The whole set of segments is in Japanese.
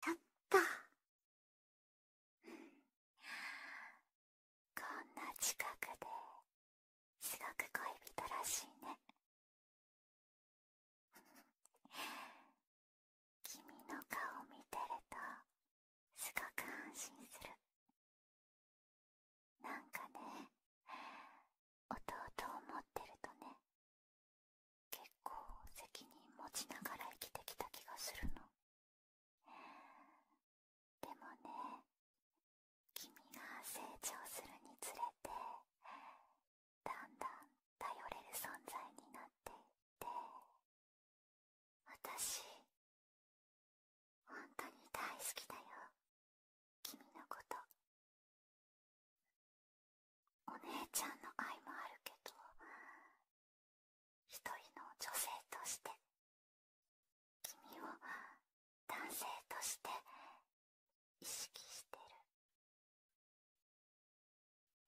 ちゃった。こんな近くですごく恋人らしいね。君の顔を見てるとすごく安心する。なんかね、弟を持ってるとね、結構責任持ちながら生きてきた気がするのでもね君が成長するにつれてだんだん頼れる存在になっていって私本当に大好きだよ君のことお姉ちゃんの愛もあるけど一人の女性として君を男性として意識してる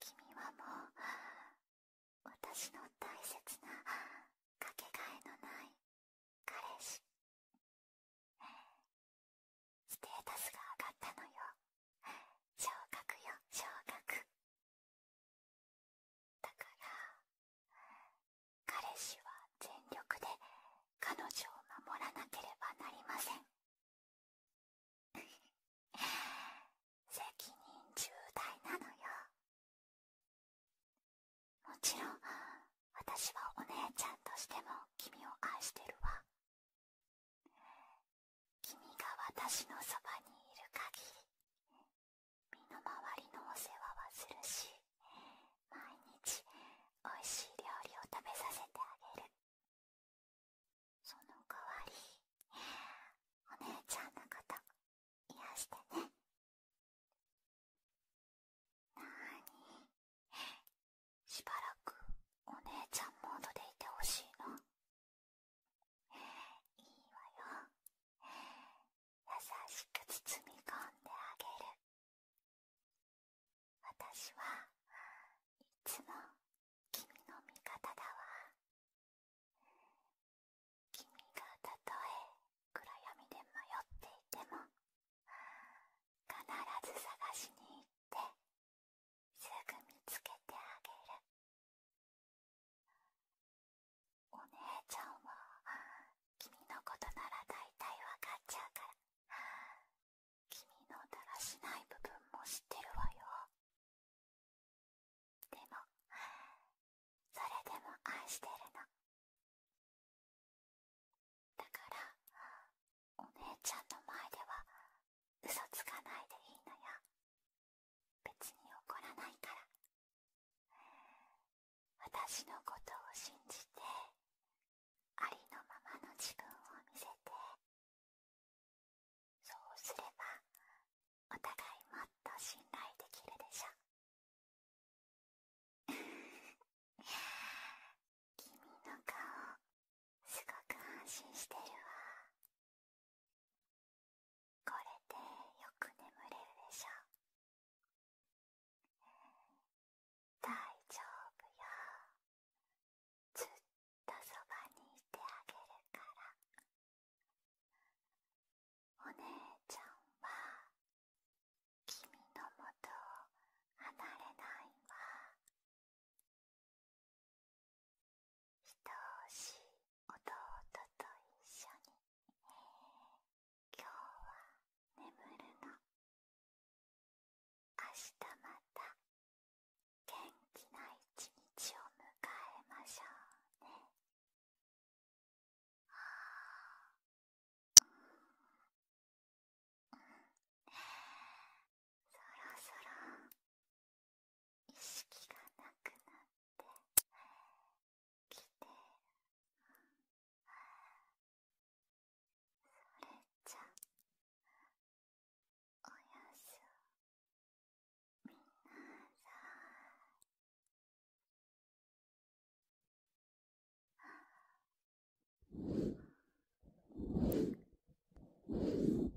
君はもう私の大切なかけがえのない彼氏ステータスが上がったのよ昇格よ昇格だから彼氏は全力で彼女を守らなければなりません 責任重大なのよもちろん私はお姉ちゃんとしても君を愛してるわ君が私のそばにいる限り身の回りのお世話はするし毎日おいしい料理を食べさせてあげるその代わりお姉ちゃんのこと癒やしてねなーにしばらくお姉ちゃんモードでいてほしいないいわよ優しく包み込んであげる私はいつも君の味方だわ君がたとえ暗闇で迷っていても必ず探しに行ってすぐ見つけてあげるお姉ちゃんは君のことなら大体わかっちゃうから君のだらしない部分も知ってるわよでもそれでも愛してるのだからお姉ちゃんの前では嘘つかないでいいのよ別に怒らないから私のことを信じてありのままの自分を見せてそうすればお互いもっと信頼できるでしょ 君の顔すごく安心してるわこれでよく眠れるでしょう、うん、大丈夫よずっとそばにいてあげるからお姉ちゃんは君のもとを離れないわ愛しい弟と一緒に今日は眠るの明日また元気な一日を迎えましょうねうんうそろそろ意識がなくなってきてるそれじゃおやすみなさい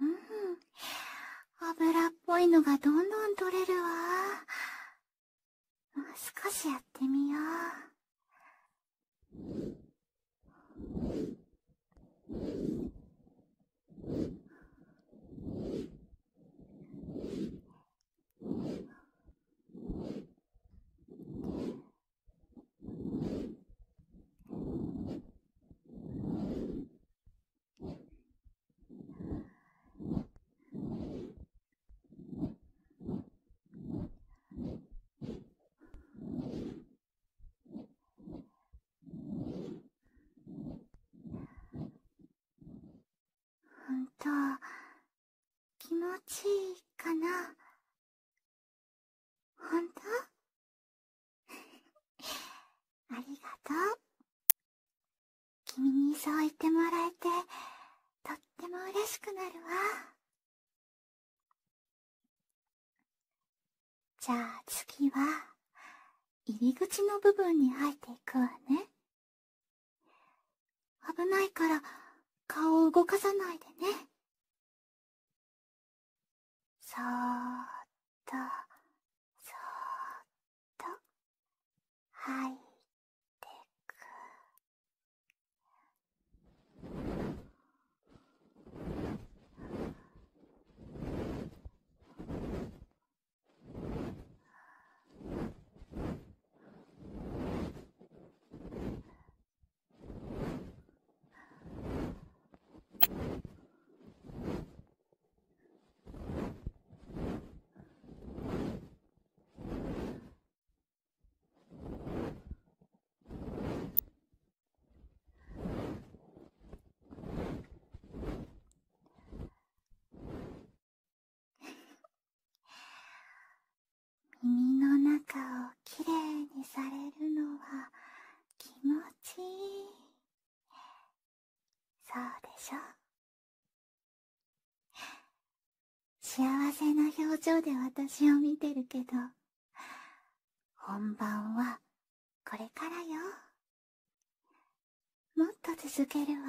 うん。油っぽいのがどんどん取れるわ。もう少しやってみよう。ほんと気持ちいいかなほんとありがとう。君にそう言ってもらえて、とっても嬉しくなるわ。じゃあ次は、入り口の部分に入っていくわね。危ないから、顔を動かさないでね。そーっとそーっと入ってく 耳の中をきれいにされるのは気持ちいいそうでしょ幸せな表情で私を見てるけど本番はこれからよもっと続けるわ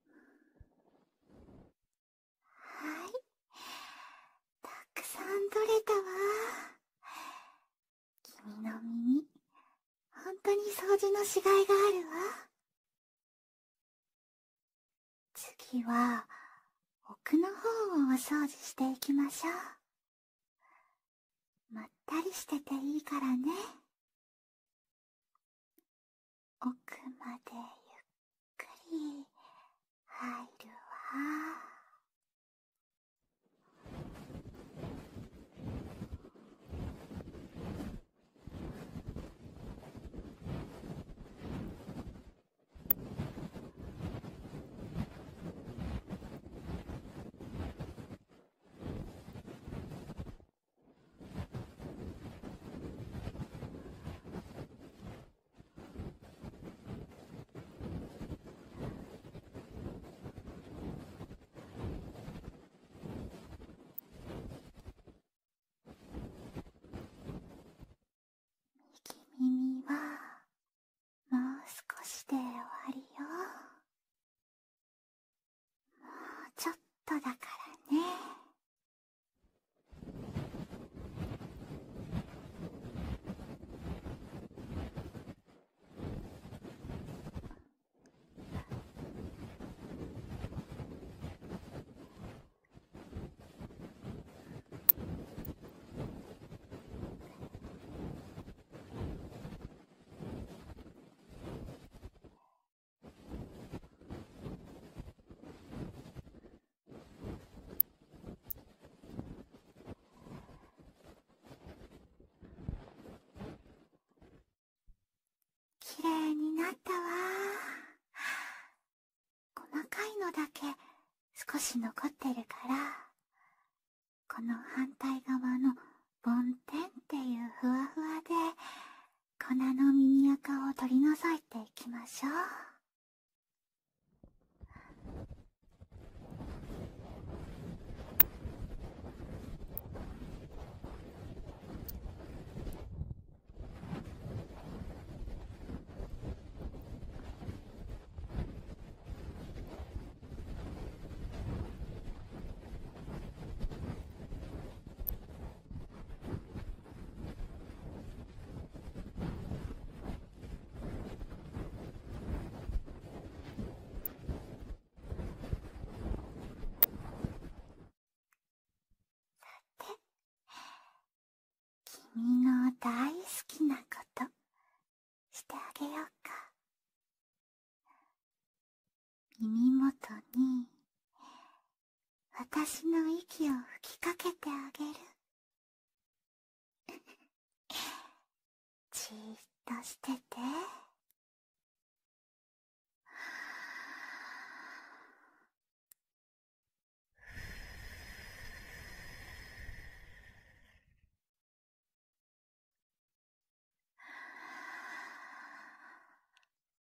はいたくさん取れたわ君の耳んとに掃除のしがいがあるわ次は奥の方をお掃除していきましょうまったりしてていいからね奥までゆっくり入るわ。右耳はもう少しで終わりよもうちょっとだからねきれいになったわ細かいのだけ少し残ってるからこの反対側の梵天っていうふわふわで粉の耳垢を取り除いていきましょうさて、君の大好きなことしてあげようか耳元に私の息を吹きかけてあげる じーっとしてて。あら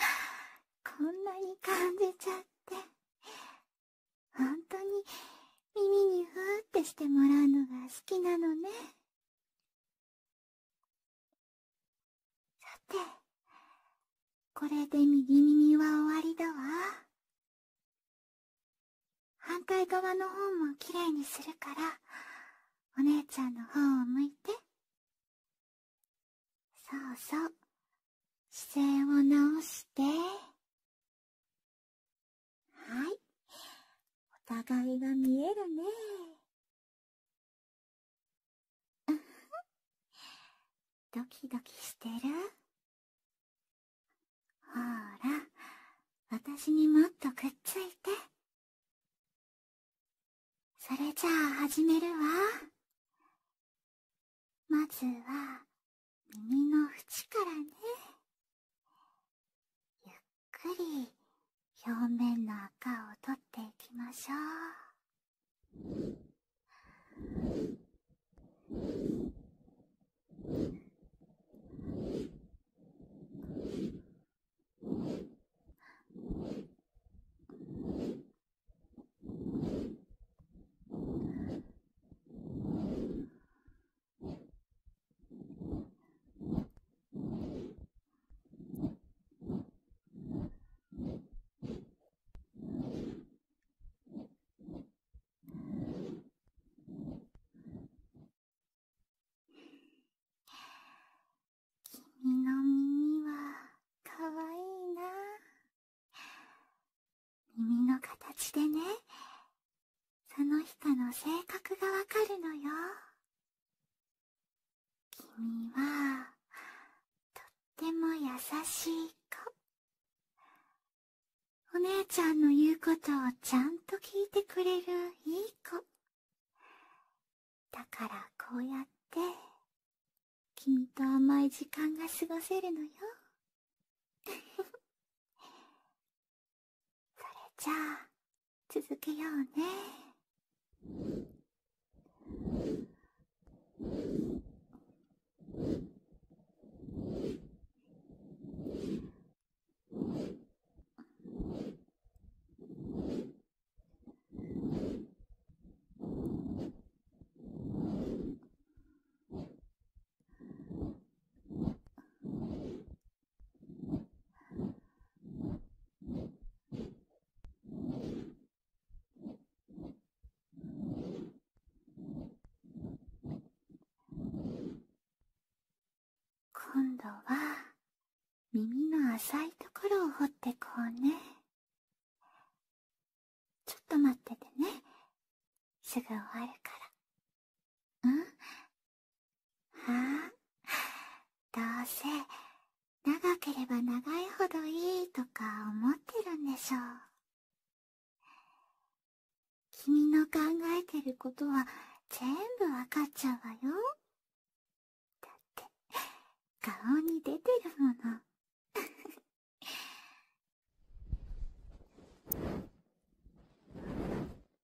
ら、こんなに感じちゃってほんとに耳にふーってしてもらうのが好きなのね。さて、これで右耳は終わりだわ。反対側の方もきれいにするから、お姉ちゃんの方を向いて。そうそう。姿勢を直して。はい。お互いが見えるね。ドキドキしてるほーら、私にもっとくっついて。それじゃあ始めるわ。まずは、耳の縁からねゆっくり表面の赤を取っていきましょう。君 の耳はかわいいな耳の形でね、その人の性格がわかるのよ。君は、とっても優しい子。お姉ちゃんの言うことをちゃんと聞いてくれるいい子。だからこうやって、君と甘い時間が過ごせるのよ。それじゃあ、続けようね。今度は耳の浅いところを掘ってこうねちょっと待っててねすぐ終わるから。んああ、どうせ、長ければ長いほどいいとか思ってるんでしょう。君の考えてることは全部わかっちゃうわよ。だって、顔に出てるもの。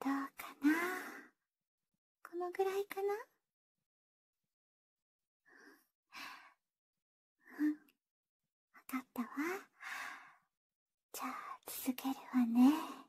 どうかなこのぐらいかなうんわかったわじゃあ続けるわね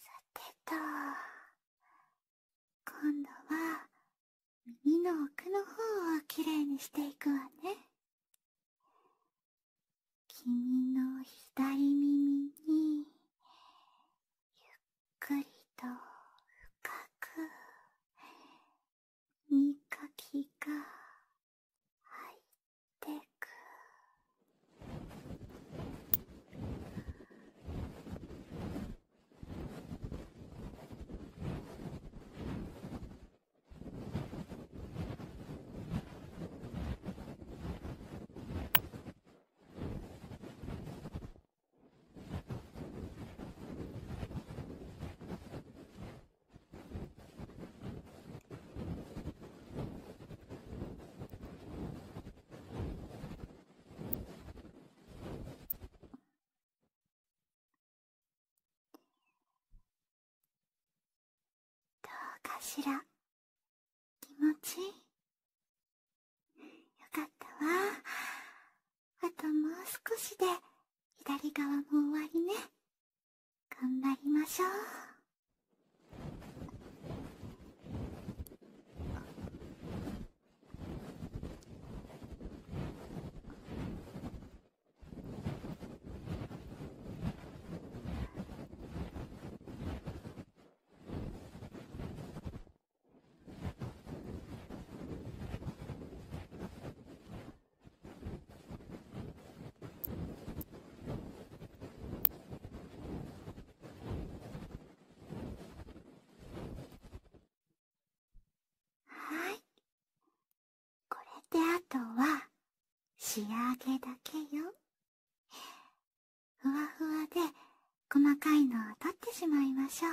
さてと今度は耳の奥の方をきれにしていくわね君の左耳にゆっくりと深くみかきが入ってくどうかしら気持ちいいよかったわあともう少しで左側も終わりね頑張りましょうあはいこれであとは仕上げだけよふわふわで細かいのを取ってしまいましょう。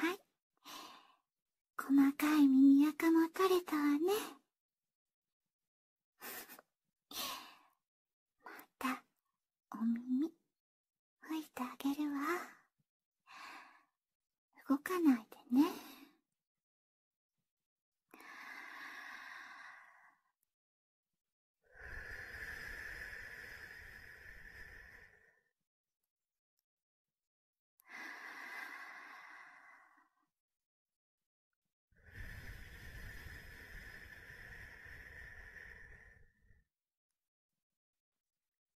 はい細かい耳垢も取れたわね またお耳拭いてあげるわ。動かないでね。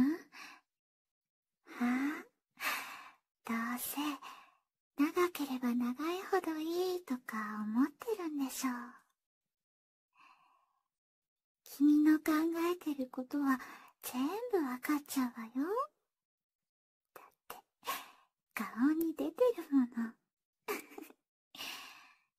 んはあどうせ長ければ長いほどいいとか思ってるんでしょう君の考えてることは全部わかっちゃうわよだって顔に出てるもの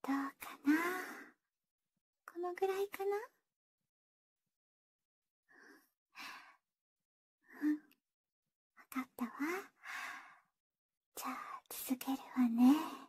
どうかなこのぐらいかな分かったわじゃあ続けるわね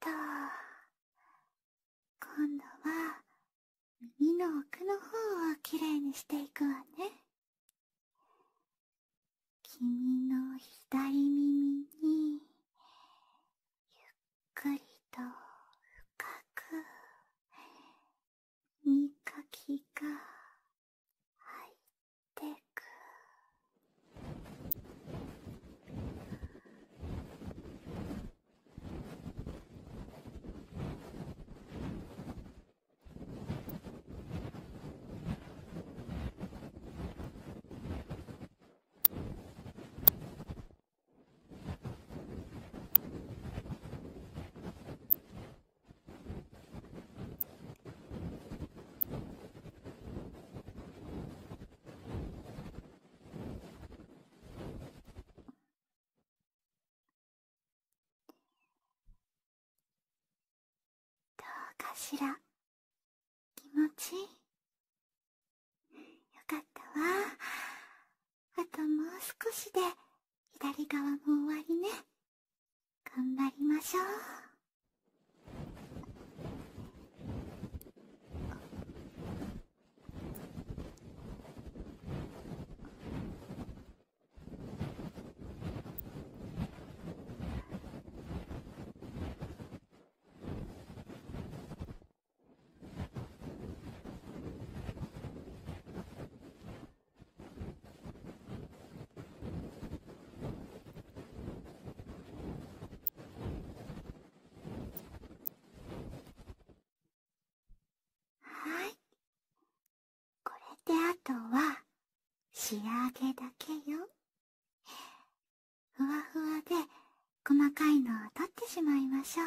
と今度は耳の奥の方をきれにしていくわね君の左耳にゆっゆっくりと深くみかきが入ってくどうかしら気持ちいいよかったわ。あともう少しで、左側も終わりね。頑張りましょう。はいこれであとは仕上げだけよふわふわで細かいのを取ってしまいましょう。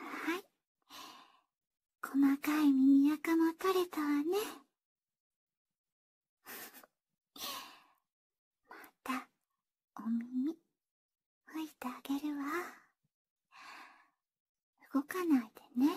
はい細かい耳垢も取れたわね またお耳吹いてあげるわ動かないでねは